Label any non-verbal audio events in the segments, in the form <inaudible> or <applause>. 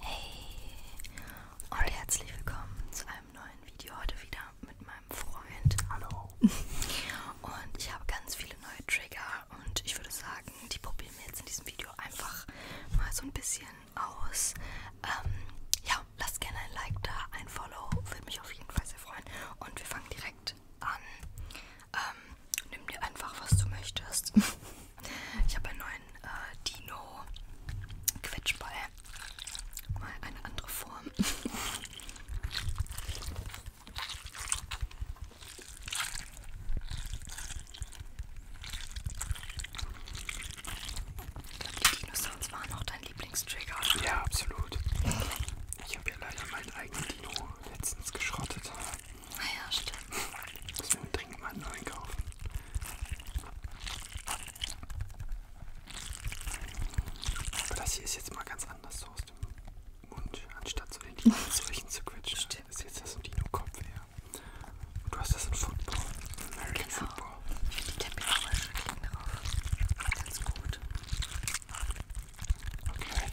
Hey und herzlich willkommen zu einem neuen Video heute wieder mit meinem Freund. Hallo. <laughs> Und ich habe ganz viele neue Trigger und ich würde sagen, die probieren wir jetzt in diesem Video einfach mal so ein bisschen aus. Ähm, ja, lasst gerne ein Like da, ein Follow, würde mich auf jeden Fall sehr freuen. Und wir fangen direkt an. Ähm, nimm dir einfach, was du möchtest. <laughs> Ich habe einen neuen äh, Dino-Quetschball. Mal eine andere Form. Ich glaube, die Dinosaurs waren auch dein Lieblingstrigger. Ja, absolut. Ich habe ja leider meinen eigenen Dino letztens geschrottet. Naja, ah stimmt. Muss mir einen Trinkmann neu kaufen. Aber das hier ist jetzt mal ganz anders so aus dem Mund, anstatt so den Dino-Zeichen <laughs> zu quetschen. Stimmt. Ist jetzt das so ein Dino-Kopf her. Und du hast das in Football. American genau. Football. Ich bin der Biologisch klingt drauf. Ganz gut. Okay.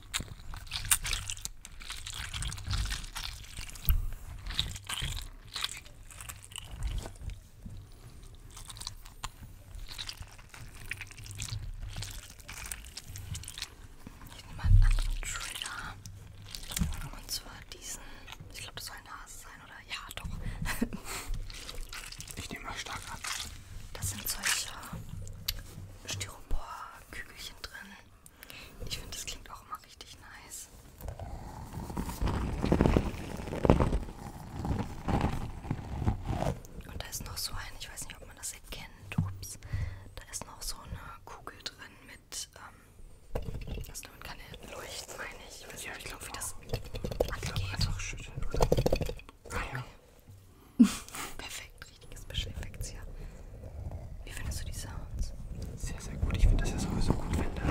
Ich nehme einen anderen Trigger. Und zwar diesen. Ich glaube, das soll ein Hase sein, oder? Ja, doch. ich nehme mal stark an. Das sind solche Styropor-Kügelchen drin. Ich finde, das klingt auch immer richtig nice. Und da ist noch so ein, ich weiß nicht, ob man das erkennt, ups, da ist noch so eine Kugel drin mit, ähm, das also damit kann er leuchten, meine ich. Ich weiß ja, nicht, ich glaube, wie das angeht. Ich glaub, einfach schütteln, oder? Ah, okay. ja. <laughs> Perfekt, richtige Special Effects hier. Wie findest du die Sounds? Sehr, sehr gut. Ich finde das ja sowieso gut, wenn da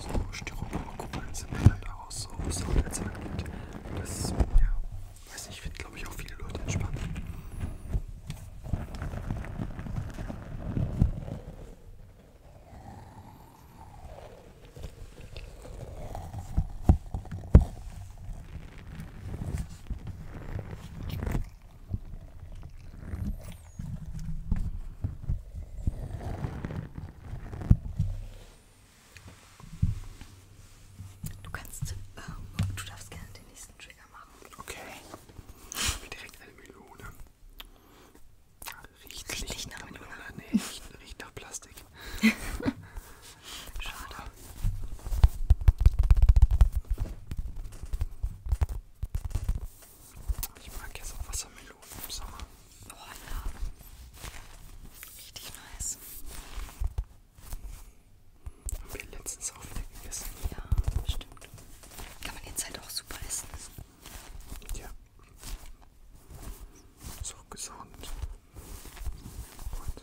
so Styropor-Kugeln sind und dann daraus so Sound erzeugt wird. Das, ja, weiß nicht, finde glaube ich auch viele Leute entspannt. Du kannst, äh, du darfst gerne den nächsten Trigger machen. Okay. Ich direkt eine Melone. Riecht, Riecht nicht nach Melone. Melone. Nee, riecht, riecht nach Plastik. <laughs> <laughs> Schade. Ich mag jetzt auch Wassermelonen im Sommer. Oh ja. Richtig nice. Haben wir letztens auch wieder gegessen. Ja, stimmt. Kann man jetzt halt auch super essen. Ja. Ist auch gesund. Und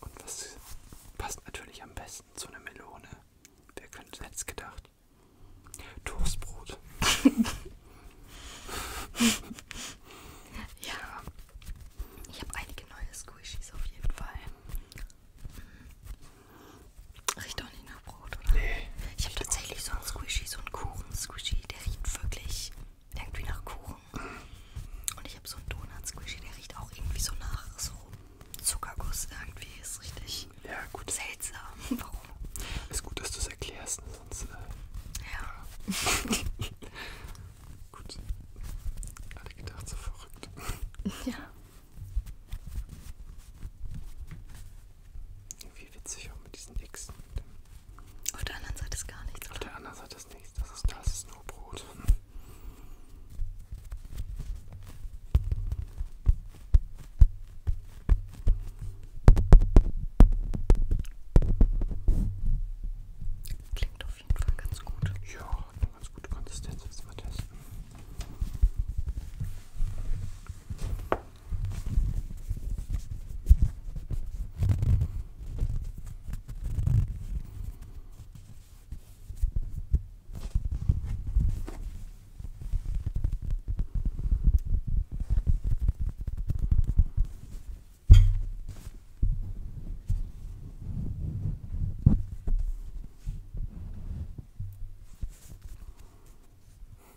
Und was passt natürlich am besten zu einer Melone? Wer könnte jetzt gedacht? Toastbrot. ja. <laughs> ja. Ich habe einige neue Squishies auf jeden Fall. Hm. Riecht auch nicht nach Brot, oder? Nee. Ich habe tatsächlich so einen Squishy, so einen Kuchen-Squishy, der riecht wirklich irgendwie nach Kuchen. Und ich habe so einen Donut-Squishy, der riecht auch irgendwie so nach so Zuckerguss irgendwie. Ist richtig ja, gut. seltsam. <laughs> Warum? Ist gut, dass du es erklärst, ne? sonst. Äh, ja. <laughs> gut. Alle gedacht, so verrückt. <laughs> Ja. Irgendwie witzig auch mit diesen Xen. Auf der anderen Seite ist gar nichts. Auf oder? der anderen Seite ist nichts. Das ist, das ist nur Brot. Klingt auf jeden Fall ganz gut. Ja, hat eine ganz gute Konsistenz. Jetzt mal testen.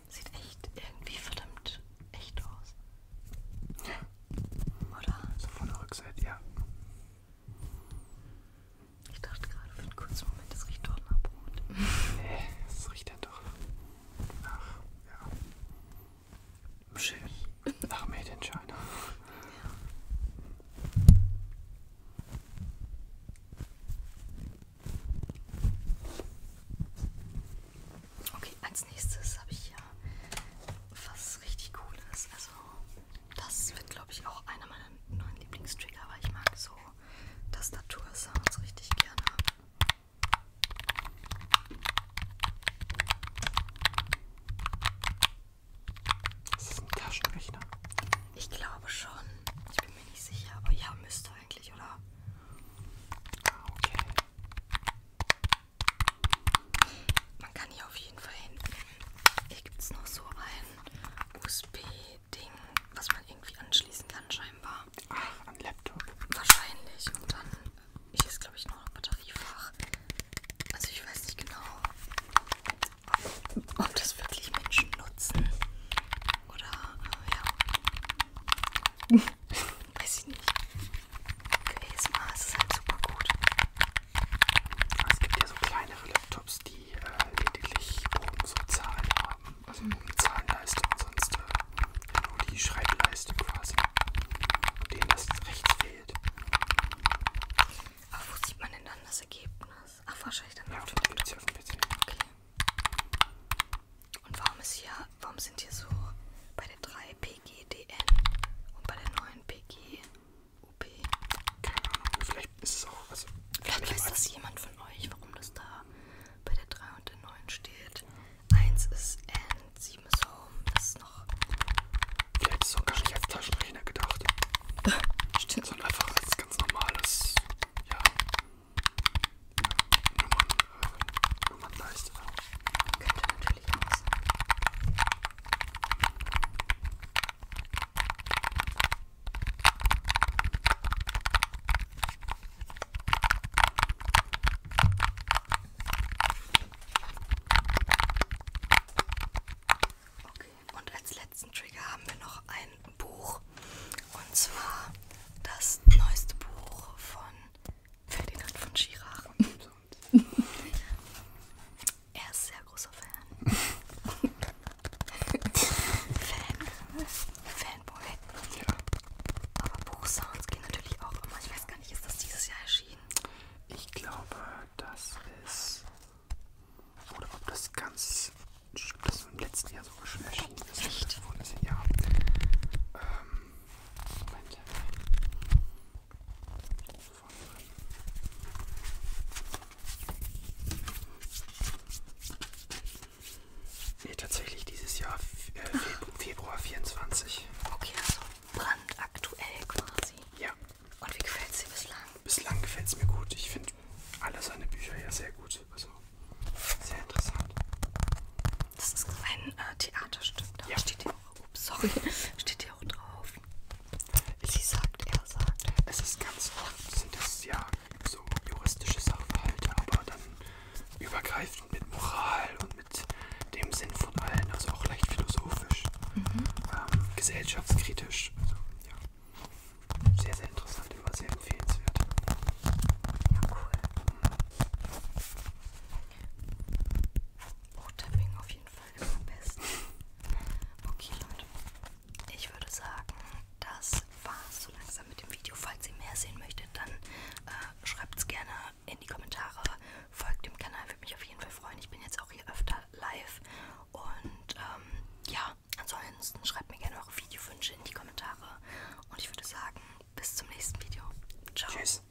Sieht echt irgendwie verdammt echt aus. Ja. Oder? So von der Rückseite, ja. Ich dachte gerade für einen kurzen Moment, das riecht dort nach Brot. <laughs> Nee, das riecht ja doch nach, ja, schön. Nach Made in China. Ja. Okay, als nächstes habe ich hier was richtig cooles. Also das wird glaube ich auch einer meiner neuen Lieblingstrigger, weil ich mag so Tastatursounds richtig gerne. Ist das ein Taschenrechner? Ich glaube schon. Ich bin mir nicht sicher, aber ja, müsste eigentlich, oder? Ah, okay. Man kann hier auf jeden Fall hinten, hier gibt es noch so ein USB-Ding, was man irgendwie anschließen kann scheinbar. Ach, an Laptop. Wahrscheinlich. Und dann, hier ist glaube ich noch ein Batteriefach. Also ich weiß nicht genau, ob, ob das wirklich Menschen nutzen. Oder, äh, ja. <laughs> Weiß ich nicht. Für ESMA ist es halt super gut. Aber es gibt ja so kleinere Laptops, die äh, lediglich oben so Zahlen haben. Also mhm. oben Zahlenleiste und sonst äh, nur die Schreibleiste quasi. Und denen das rechts fehlt. Aber ah, wo sieht man denn dann das Ergebnis? Ach, wahrscheinlich dann ja, auf dem PC. Auf dem PC. Okay. Und warum, ist hier, warum sind hier so bei der 3 PG PGDN e und bei der neuen PGUP. Keine Ahnung, vielleicht ist es auch. Also vielleicht weiß das jemand von euch, warum das da bei der 3 und der 9 steht. 1 ist N, 7 ist Home, das ist noch. Vielleicht ist es auch gar nicht als Taschenrechner gedacht. <laughs> Stimmt. Sondern einfach als ganz normales. Ja. Nummern. Und man leistet auch. Man könnte natürlich auch sagen. Okay, und als letzten Trigger haben wir noch ein Buch. Und zwar das neueste Buch von Ferdinand von Schirach. So kommt. <laughs> er ist sehr großer Fan. <laughs> Fan. Fanboy. Ja. Aber Buchsounds gehen natürlich auch immer. Ich weiß gar nicht, ist das dieses Jahr erschienen? Ich glaube, das ist. Oder ob das ganz. Das im letzten Jahr sogar schon erschienen ist. Echt? Vorletztes Jahr. Ähm, Moment. Nee, tatsächlich dieses Jahr, äh, Februar 24. Okay, also brandaktuell quasi. Ja. Und wie gefällt es dir bislang? Bislang gefällt es mir gut. Ich finde alle seine Bücher ja sehr gut. Also sehr interessant. Das ist ein äh, Theaterstück. Da ja. steht die, oh, sorry, <laughs> steht steht ja auch drauf. Sie sagt, er sagt. Es ist ganz oft, sind es ja so juristische Sachverhalte, aber dann übergreifend mit Moral und mit dem Sinn von allen, also auch leicht philosophisch, mhm. ähm, gesellschaftskritisch. Also, ja. Sehr, sehr interessant, immer sehr empfehlenswert. Ja, cool. Roter Wing auf jeden Fall. Folge am besten. Okay, Leute. Ich würde sagen, das war's so langsam mit dem Video. Falls ihr mehr sehen möchtet, dann äh, schreibt es gerne in die Kommentare. Folgt dem Kanal, würde mich auf jeden Fall freuen. Ich bin jetzt auch hier öfter live. Und ähm, ja, ansonsten schreibt mir gerne eure Videowünsche in die Kommentare. Und ich würde sagen, bis zum nächsten Video. Ciao. Tschüss.